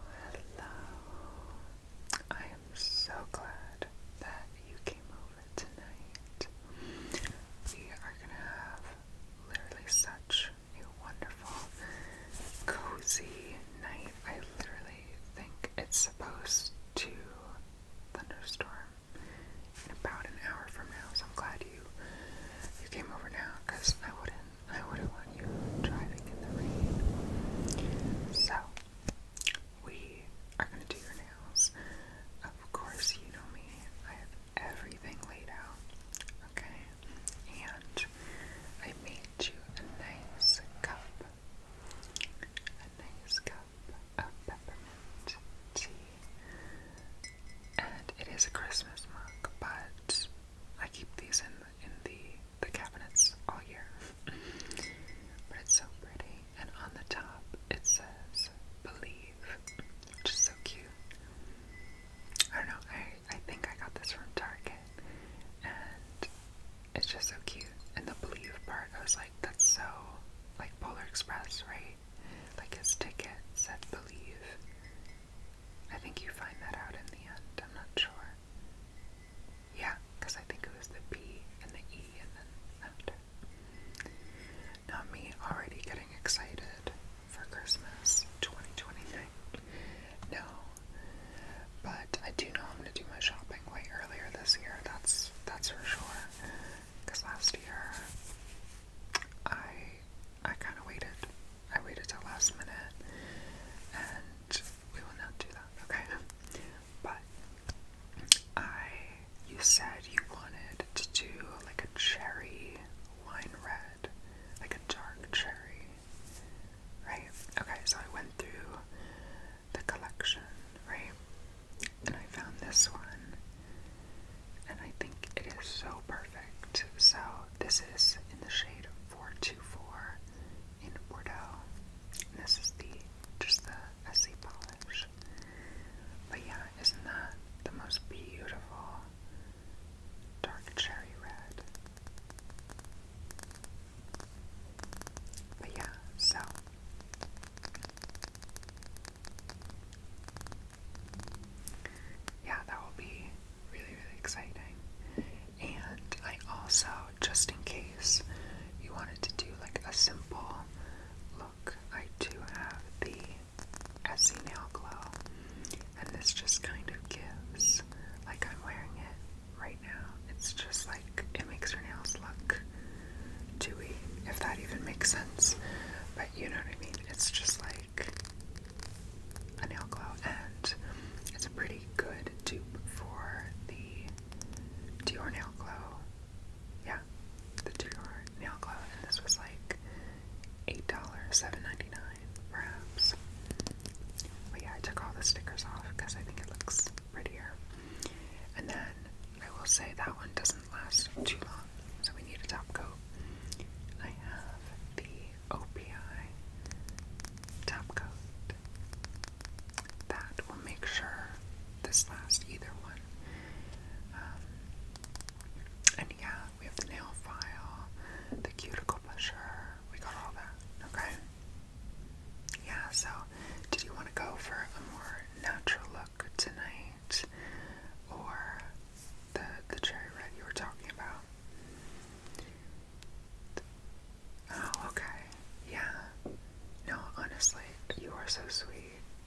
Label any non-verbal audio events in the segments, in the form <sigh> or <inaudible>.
Hello. I am so glad that you came over tonight. We are going to have literally such a wonderful, cozy night. I literally think it's supposed to thunderstorm in about an hour from now, so I'm glad you you came over now because I wouldn't I wouldn't want you driving in the rain. So, we are going to do your nails. Of course, you know me. I have everything laid out. Okay? And I made you a nice cup. A nice cup of peppermint tea. And it is a Christmas mug, but I keep these in in the the cabinets all year. but it's so pretty. And on the top it says Believe, which is so cute. I don't know, I, I think I got this from Target. And it's just so cute. And the Believe part, I was like, that's so like Polar Express, right? Like his ticket said Believe. I think you find that out in the end, I'm not sure. Yeah, because I think it was the B and the E and then after. Now, me already getting excited for Christmas 2023. No. But I do know I'm going to do my shopping way earlier this year. That's that's for sure. Because last year, I I kind of waited. I waited till last minute, and we will not do that, okay? <laughs> But I, you said you wanted to do like a cherry wine red, like a dark cherry, right? Okay, so I went through the collection, right? And I found this one, and I think it is so perfect. So this is in the shade 424 in Bordeaux. this is the just the messy polish. But yeah, isn't that the most beautiful dark cherry red? But yeah, so yeah, that will be really, really exciting. And I also, just in case you wanted to do like a simple look, I do have the Essie Nail Glow. And this just kind of gives, like I'm wearing it right now. It's just like, it makes your nails look dewy, if that even makes sense. But you know what I mean? It's just like a nail glow, and it's a pretty good dupe for the Dior nail glow. Yeah, the Dior nail glow, and this was like eight dollars, seven ninety nine, perhaps. But yeah, I took all the stickers off because I think it looks prettier. And then I will say that one doesn't last too long, so we need a top coat. I have the OPI top coat. That will make sure this lasts either one. Um, and yeah, we have the nail file, the cuticle pusher, we got all that, okay? Yeah, so did you want to go for a more natural look tonight or the the cherry red you were talking about? Oh, okay. Yeah. No, honestly, you are so sweet.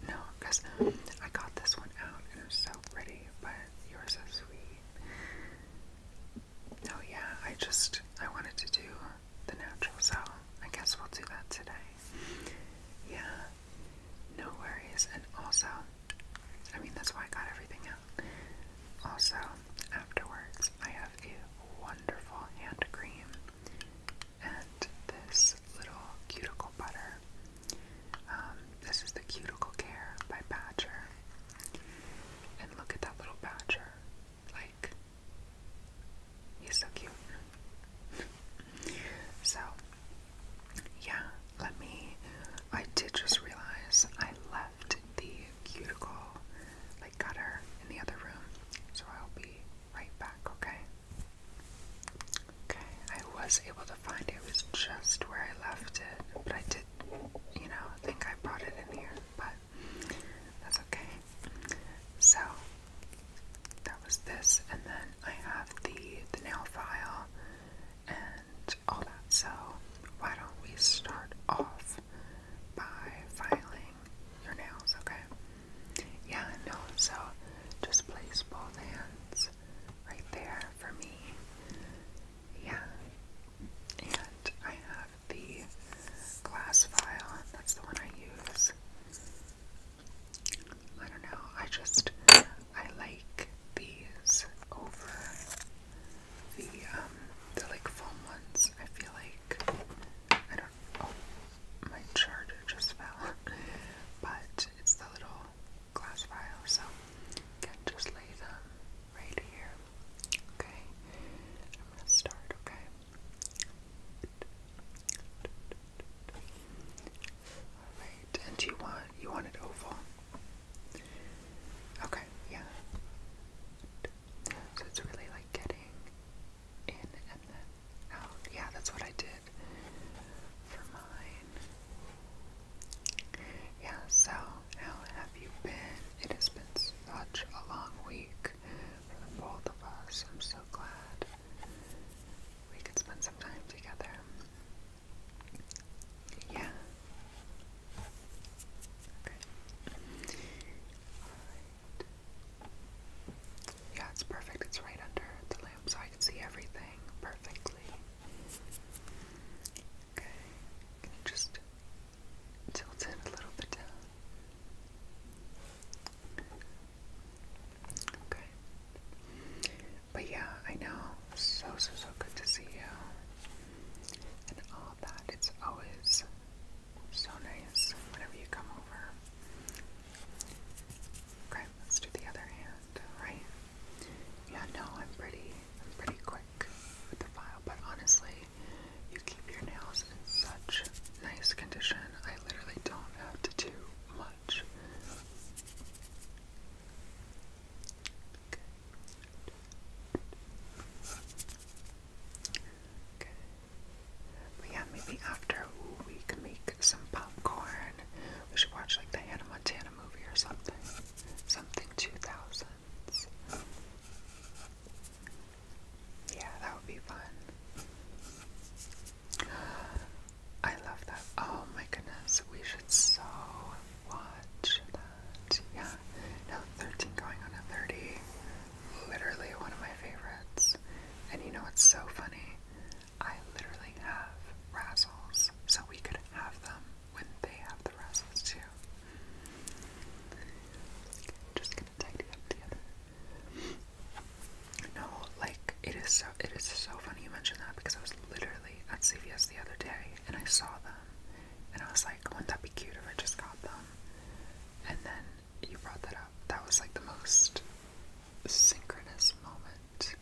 No, because I got this one out and it was so ready, but you are so sweet. No, yeah, I just, I wanted to do the natural, so I guess we'll do that today. Yeah. No worries. And also, I mean, that's why I got everything also, afterwards, I have a wonderful hand cream and this little cuticle butter. Um, this is the Cuticle Care by Badger. And look at that little Badger. Like, he's so cute. <laughs> so, yeah, let me. I did just realize I left the cuticle like cutter in the other room. So I'll be right back, okay? Okay, I was able to find it. It was just where I left it, but I did, you know, think I brought it in here, but that's okay. So that was this, and then I have the the nail file and all that. So why don't we start off by filing your nails, okay? Yeah, no, so just place both hands right there for me. Yeah. And I have the glass file, that's the one I use. I don't know, I just, I like these over the um the like foam ones. I feel like I don't. Oh, my charger just <laughs> fell. but it's the little glass vial, so you can just lay them right here. Okay, I'm gonna start. Okay. All right, and you want you want it oval? Okay, yeah. So it's really like getting in and then out. Yeah, that's what I did for mine. Yeah, so how have you been? It has been such a long week for the both of us. I'm so glad we could spend some time together. Yeah. Yeah, it's perfect. It's right under the lamp so I can see everything perfectly. Okay. just tilt it a little bit down? Okay. But yeah, I know. So, so, so good to see you. Um, that. It's always so nice whenever you come over. Okay, let's do the other hand, right? Yeah, no, I'm pretty, I'm pretty quick with the file, but honestly, you keep your nails in such nice condition. I literally don't have to do much. Good. Good. But yeah, maybe after we can make some popcorn. We should watch like the Hannah Montana movie or something. Something 2000s. Yeah, that would be fun. I love that. Oh my goodness, we should so watch that. Yeah. No, 13 going on a 30. Literally one of my favorites. And you know what's so funny? I literally have Razzles, so we could have them when they have the Razzles too. Okay, I'm just gonna tidy up together. No, like it is so it is so funny you mentioned that because I was literally at CVS the other day and I saw them and I was like, wouldn't that be cute if I just got them? And then you brought that up. That was like the most synchronous moment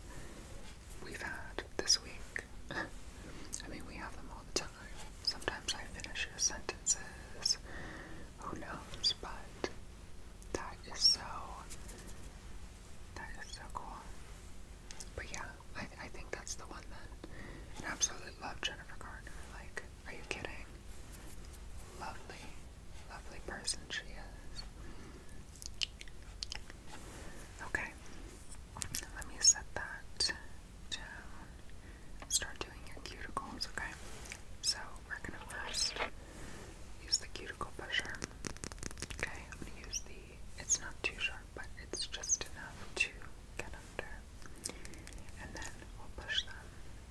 we've had this week. <laughs> I mean, we have them all the time. Sometimes I finish sentences. Who knows? But that is so. That is so cool. But yeah, I, I think that's the one then. Absolutely love Jennifer Garner. Like, are you kidding? Lovely, lovely person she is. Okay, let me set that down. Start doing your cuticles, okay? So, we're gonna use the cuticle pusher. Okay, I'm gonna use the, it's not too sharp, but it's just enough to get under, and then we'll push them,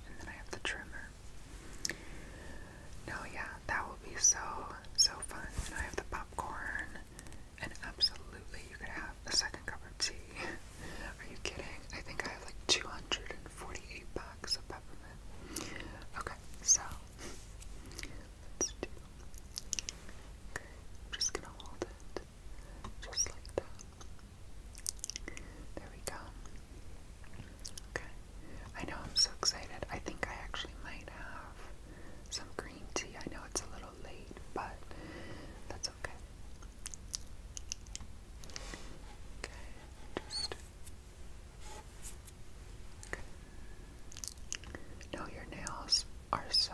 and then I have the trimmer. No, yeah, that will be so, so fun. And I have the popcorn, and absolutely you could have a second cup of tea. <laughs> Are you kidding? I think I have like 248 packs of peppermint. Okay, so <laughs> let's do. Okay, I'm just gonna hold it. Just like that. There we go. Okay. I know I'm so excited. I think I actually might have some green tea. I know it's a little late, but that's okay. Okay, just No, your nails are so,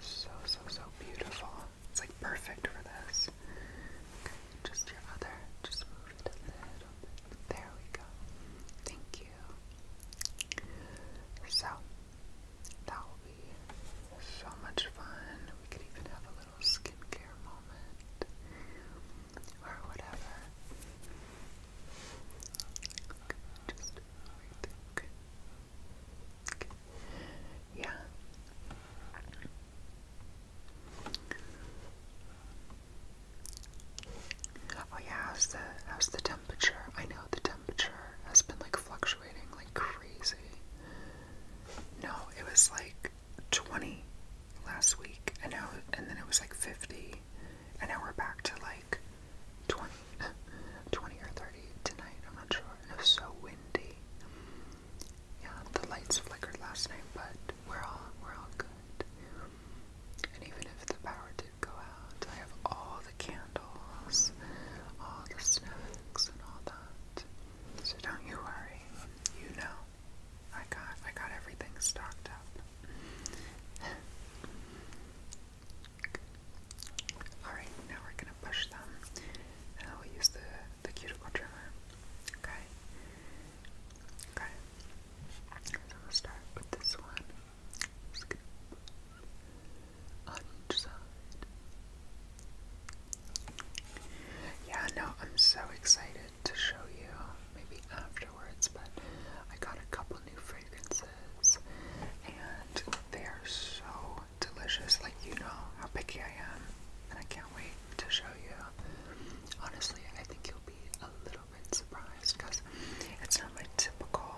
so, so, so beautiful. It's like perfect for this. just your other, just move it a little bit. There we go. Thank you. So, that will be so much fun. We could even have a little skincare moment or whatever. Okay, just everything. Okay. Yeah. Oh yeah, how's the how's the temperature? I know the temperature has been like fluctuating like crazy. No, it was like 20 last week and now and then it was like 50 and now we're back to like 20 <laughs> or 30 tonight. I'm not sure it was so windy. Yeah, the lights flickered last night, but we're all we're all good. And even if the power did go out, I have all the candles, all the snacks, and all that. So don't you worry. You know, I got I got everything stocked up. <laughs> All right, now we're push them and I use the, the cuticle trimmer. Okay? Okay. So we'll start with this one. Scoop. On side. Yeah, no, I'm so excited to show you maybe afterwards, but I got a couple new fragrances and they are so delicious. Like, you know how picky I am, and I can't wait to show you. Honestly, I think you'll be a little bit surprised because it's not my typical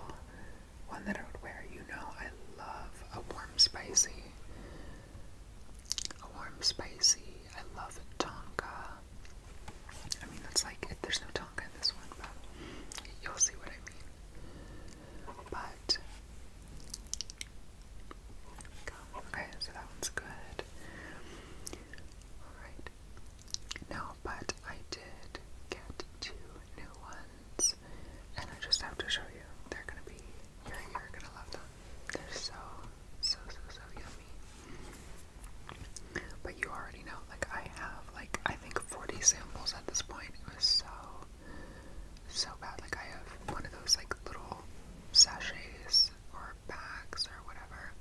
one that I would wear. You know, I love a warm spicy. A warm spicy. I love tonka. I mean, that's like, it, there's no tonka in this one, but you'll see what I mean. But Okay, so that one's good. Alright. No, but I did get two new ones, and I just have to show you. They're gonna be, you're gonna love them. They're so, so, so, so yummy. But you already know, like, I have, like, I think 40 samples at this point. It was so so bad. Like I have one of those like little sachets or bags or whatever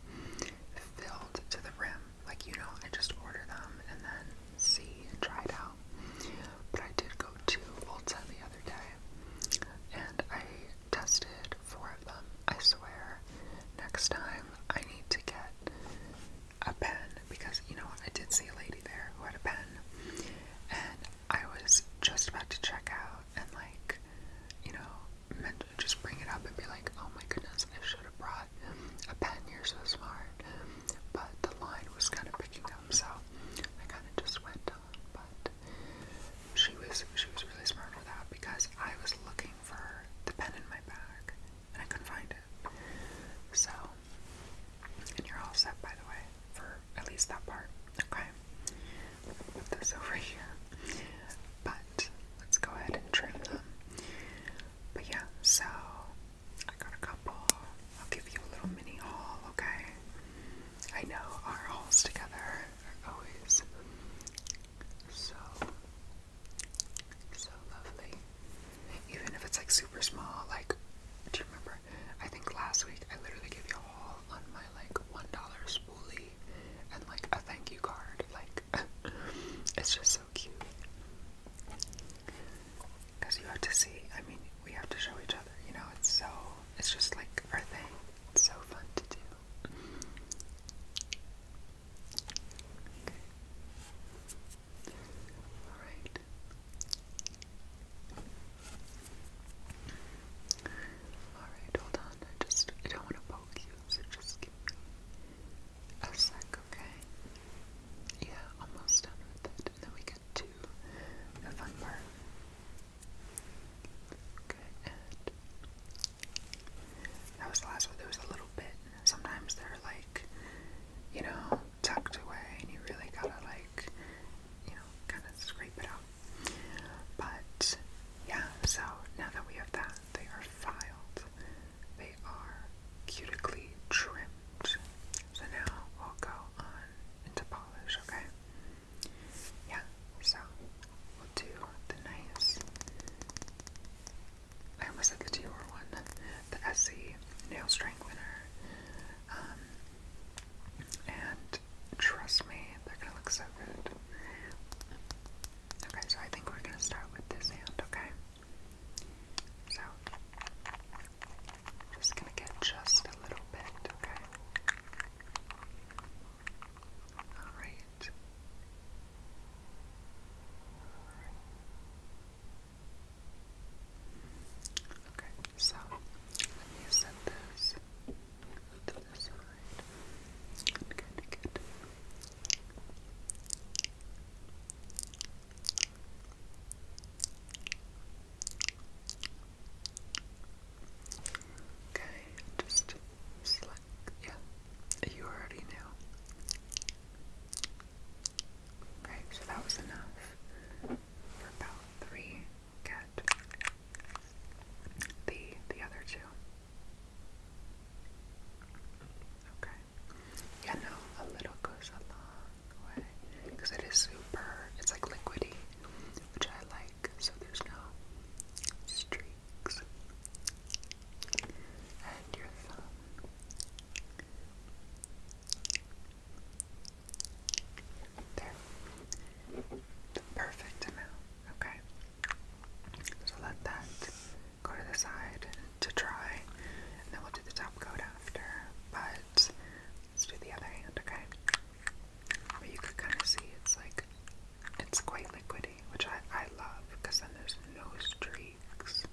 filled to the rim. Like you know, I just order them and then see and try it out. But I did go to Ulta the other day and I tested four of them. I swear, next time I need to get a pen because you know I did see a lady there who had a pen and I was just about to check out and like, you know, meant to just bring it up and be like, oh my goodness, I should have brought a pen. You're so smart. But the line was kind of picking up, so I kind of just went on. But she was she was really smart for that because I was looking for the pen in my bag and I couldn't find it. So and you're all set, by the way, for at least that part. Okay. Put this <laughs> over here. But let's go ahead and trim them. But yeah, so I got a couple. I'll give you a little mini haul, okay? I know our hauls together are always so, so lovely. Even if it's like super small, like, do you remember I think last week I literally gave you a haul on my like one dollar spoolie and like a thank you card. Like <laughs> it's just so cute. Cause you have to see. I mean, we have to show each other. You know, it's so. It's just like our thing. It's so fun to do. All right. Alright, hold on. I just I don't want to poke you, so just give me a sec, okay? Yeah, almost done with it. then we get to the fun part. Okay, that was the last one. There was a little bit. Sometimes they're like, you know, tucked away, and you really gotta like you know, kind of scrape it out. But yeah, so now that we have that, they are filed. They are cutically trimmed. So now we'll go on into polish, okay? Yeah, so we'll do the nice. I almost said the Dior one, the SE Nail Strengthener. Um, and trust me, they're gonna look so good. Okay, so I think we're gonna start with this hand, okay? So, just gonna get just a little bit, okay? Alright. Okay, so let me set this to the side. I'm going Okay, just select yeah. You already knew. Okay, so that was enough for about three get the the other two. Okay. Yeah, no, a little goes a long way because it is super. It's like liquidy, which I like. So there's no streaks. And your thumb. There. perfect amount, okay? So let that go to the side to dry, and then we'll do the top coat after. But let's do the other hand, okay? But you could kind of see it's like it's quite liquidy, which I, I love because then there's no streaks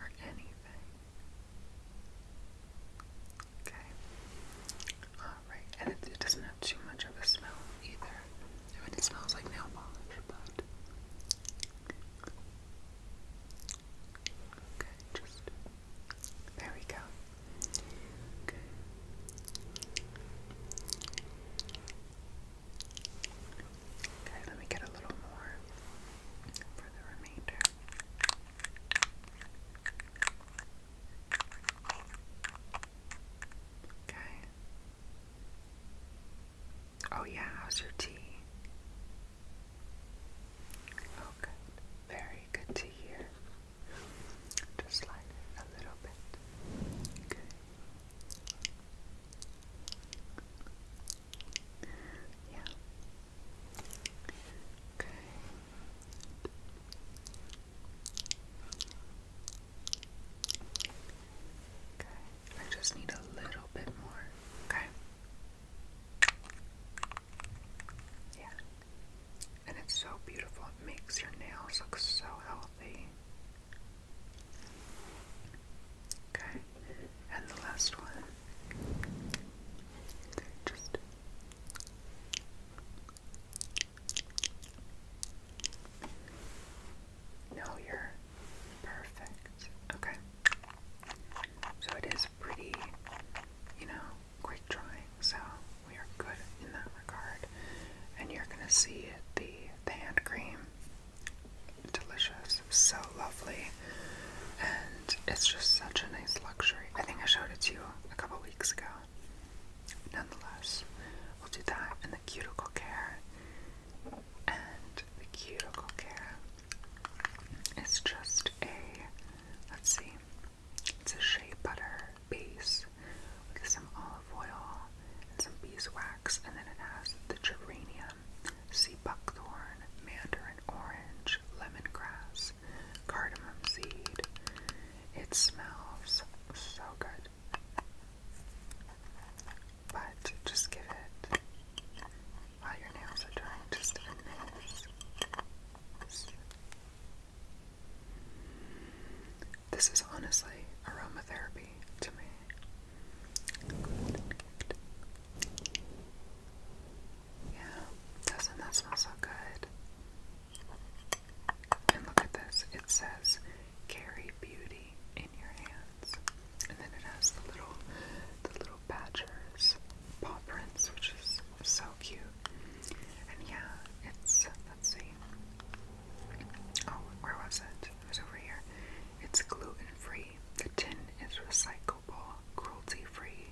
or anything. Okay. Alright, and it, it doesn't have too much of a smell either. I mean, it smells like nail polish, but. Okay, just. There we go. Okay. Okay, let me get a little more for the remainder. Okay. Oh, yeah, how's your tea? Oh, Very good to hear. Just lighten a little bit. Good. Yeah. Okay. I just need a little bit more. Okay. Yeah. And it's so beautiful. It makes your nails look so healthy. Okay. And the last one. Okay, just no, you're perfect. Okay. So it is pretty, you know, quick drying, so we are good in that regard. And you're gonna see it, the, the hand cream. Delicious, so lovely it's just such a nice luxury. I think I showed it to you a couple weeks ago. Nonetheless, we'll do that and the cuticle care. And the cuticle care It's just a, let's see, it's a shea butter base with some olive oil and some beeswax, and then it has the geranium, sea buckthorn, mandarin orange, lemon grass cardamom seed. It smells so good. But just give it while your nails are drying, just a minute. This is honestly aromatherapy to me. Yeah, doesn't that smell so good? And look at this. It says carry beauty in your hands. And then it has the little the little badgers paw prints, which is so cute. And yeah, it's let's see. Oh, where was it? It was over here. It's gluten free. The tin is recyclable, cruelty free,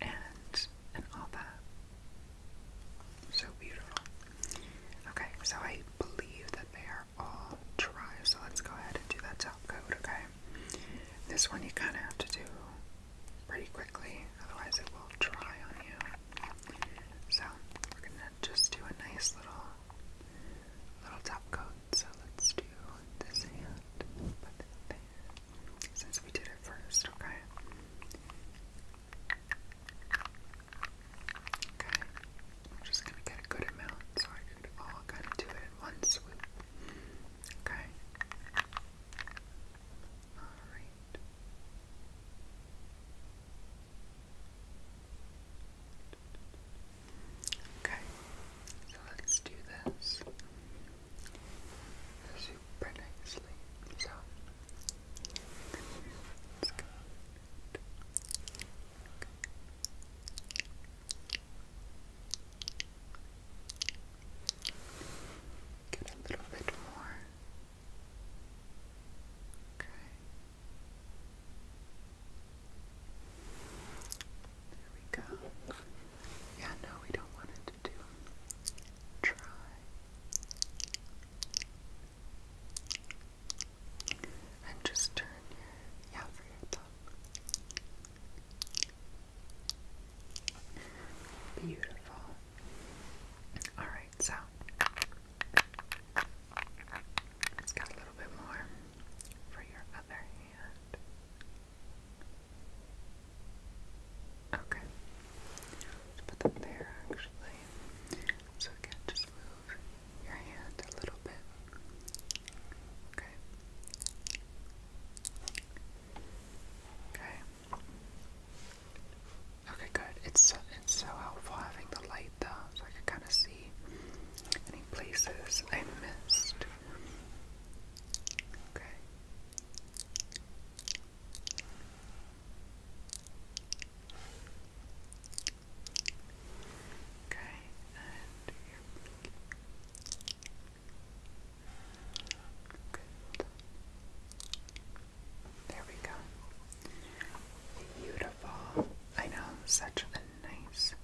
and and all that. So beautiful. Okay, so I believe that they are all dry, so let's go ahead and do that top coat, okay? This one you kinda have to do pretty quickly, otherwise it will dry on you. So we're gonna just do a nice little little top coat. So let's do this hand, put that there since we did it first, okay? Okay, I'm just gonna get a good amount so I could all kind of do it in one swoop. Okay. Alright. Okay, so let's do this super nicely. So it's good. good. Get a little bit more. Okay. There we go. Yeah, no, we don't want it to Try. And just turn your, Beautiful. Alright, so. It's got a little bit more for your other hand. Okay. put them there actually. So again, just move your hand a little bit. Okay. Okay. Okay, good. It's so, it's so helpful having the light though, so I can kind of see any places I missed. Okay. Okay, and There we go. Beautiful. I know, such a nice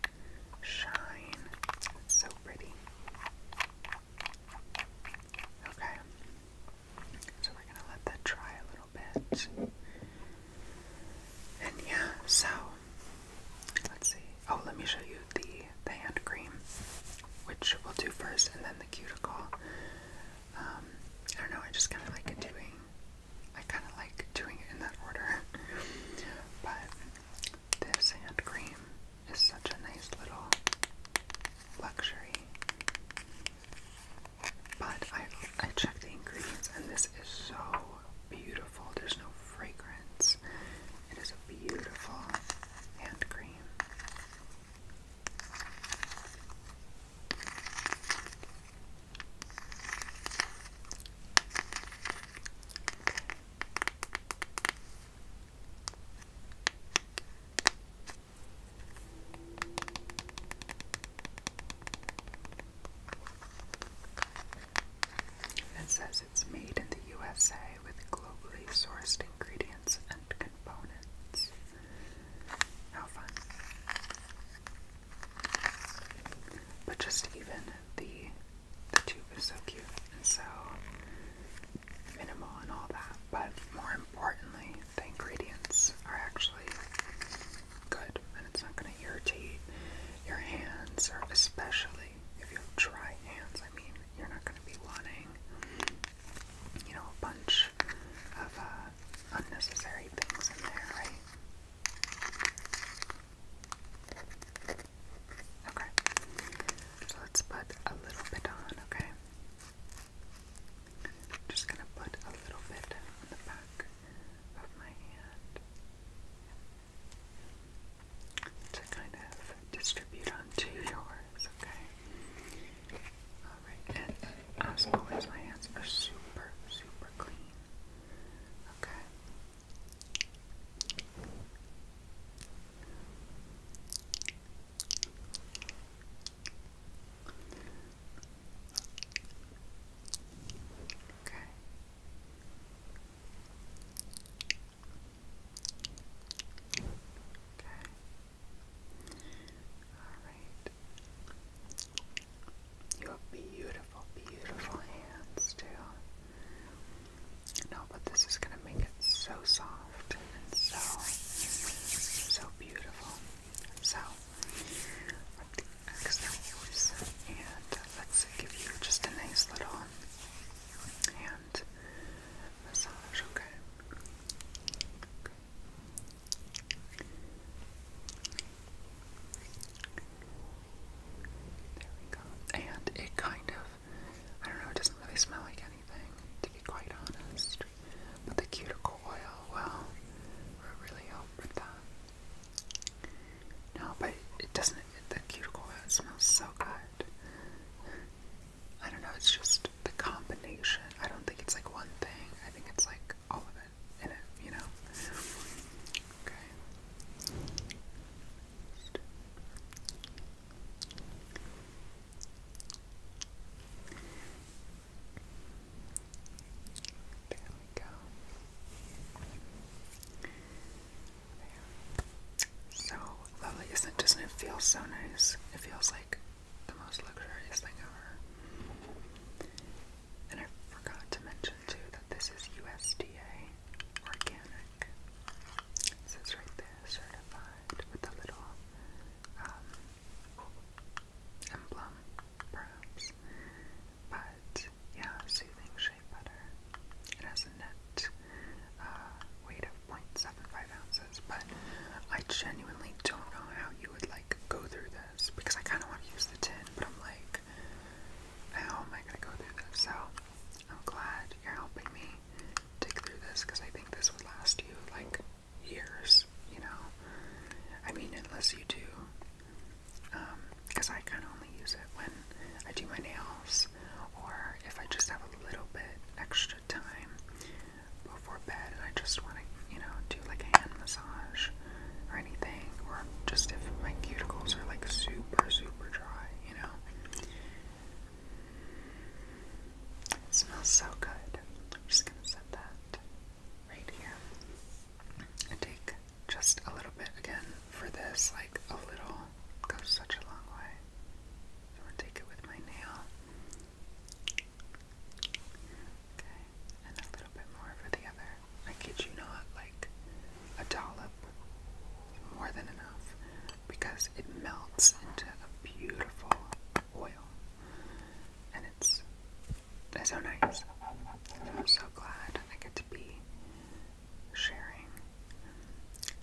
shine. so pretty. Okay. So we're gonna let that dry a little bit. And yeah, so let's see. Oh, let me show you the, the hand cream, which we'll do first, and then the cuticle. Um, I don't know, I just kind of like doing, I kind of like doing it in that order. but this hand cream is such a nice little luxury. But I I checked the ingredients and this is so beautiful. There's no fragrance. It is a beautiful hand cream. It says it's made in the USA with globally sourced ingredients and components. How fun. But just even the the tube is so cute and so minimal and all that, but more importantly, the ingredients are actually good and it's not going to irritate your hands, or especially if you have dry hands. I mean, you're not going to be wanting, you know, a bunch of uh, unnecessary things in there, right? Okay. So let's put a little bit on, okay? just gonna put a little bit on the back of my hand to kind of distribute onto yours, okay? Alright, and as always, my hands are super, super clean. Okay. Okay. Okay. All right. You beautiful, beautiful hands too. No, but this is gonna make it so soft and so so beautiful. So let the externals and let's give you just a nice little hand massage, okay. There we go. And it kind of I don't know, it doesn't really smell like anything, to be quite honest. But the cuticle oil, well, really help with that. No, but it doesn't, the cuticle oil smells so good. I don't know, it's just the combination. I don't think it's like one thing, I think it's like all of it in it, you know? Okay. There we go. So lovely, isn't it? doesn't it feel so nice? It feels like the most luxurious thing ever. And I forgot to mention too that this is USDA organic it says right there, certified with a little um, emblem, But yeah, soothing shea butter. It has a net uh, weight of 0.75 ounces, but I genuinely don't know how you would like go through this because I kind of want to use the tin, but I'm like, how am I gonna go through this? So I'm glad you're helping me dig through this because I think this would last you like years, you know. I mean, unless you do, because um, I kind of only use it when I do my nails or if I just have a little bit extra time before bed and I just want to, you know, do like a hand massage or anything, or just if my cuticles are like super, super dry, you know. It smells so good. I'm just gonna set that right here. I take just a little bit again for this, like a little goes such a long way. I'm gonna take it with my nail. Okay, and a little bit more for the other. I kid you not, like a dollop. More than enough because it melts into a beautiful oil. And it's so nice. I'm so glad I get to be sharing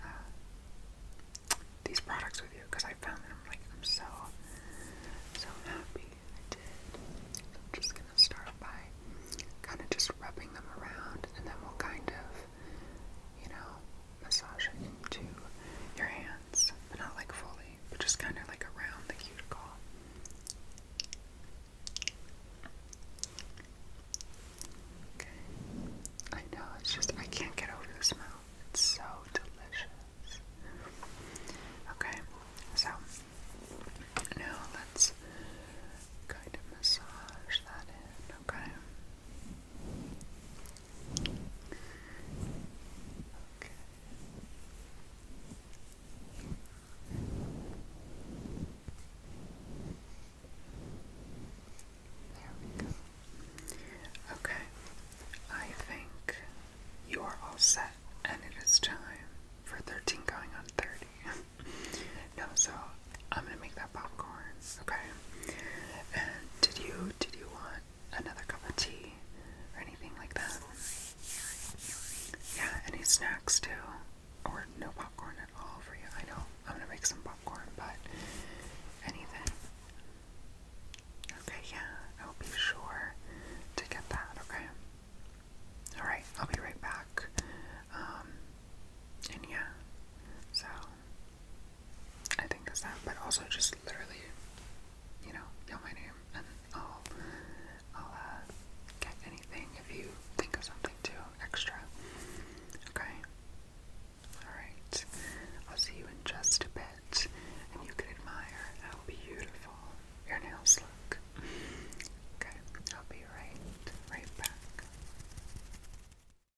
uh, these products with you because I found them. Like I'm so so happy I did. So I'm just gonna start by kind of just rubbing them around, and then we'll kind of you know, massaging to your hands, but not like fully, but just kind of like around the cuticle. Okay. I know, it's just, I can't get over the smell. It's so delicious. Okay, so now let's kind of massage that in, okay? Okay. Okay, I think you are all set, and it is time for 13 going on 30. <laughs> no, so I'm gonna make that popcorn, okay? And did you did you want another cup of tea or anything like that? Yeah, any snacks too, or no popcorn at all for you? I know I'm gonna make some popcorn, but anything? Okay, yeah, I'll be sure to get that. Okay. All right, I'll be right back. Um, and yeah, so I think that's that, but also just literally, you know, yell my name and I'll, I'll uh, get anything if you think of something too extra. Okay? Alright. I'll see you in just a bit and you can admire how beautiful your nails look. Okay, I'll be right, right back.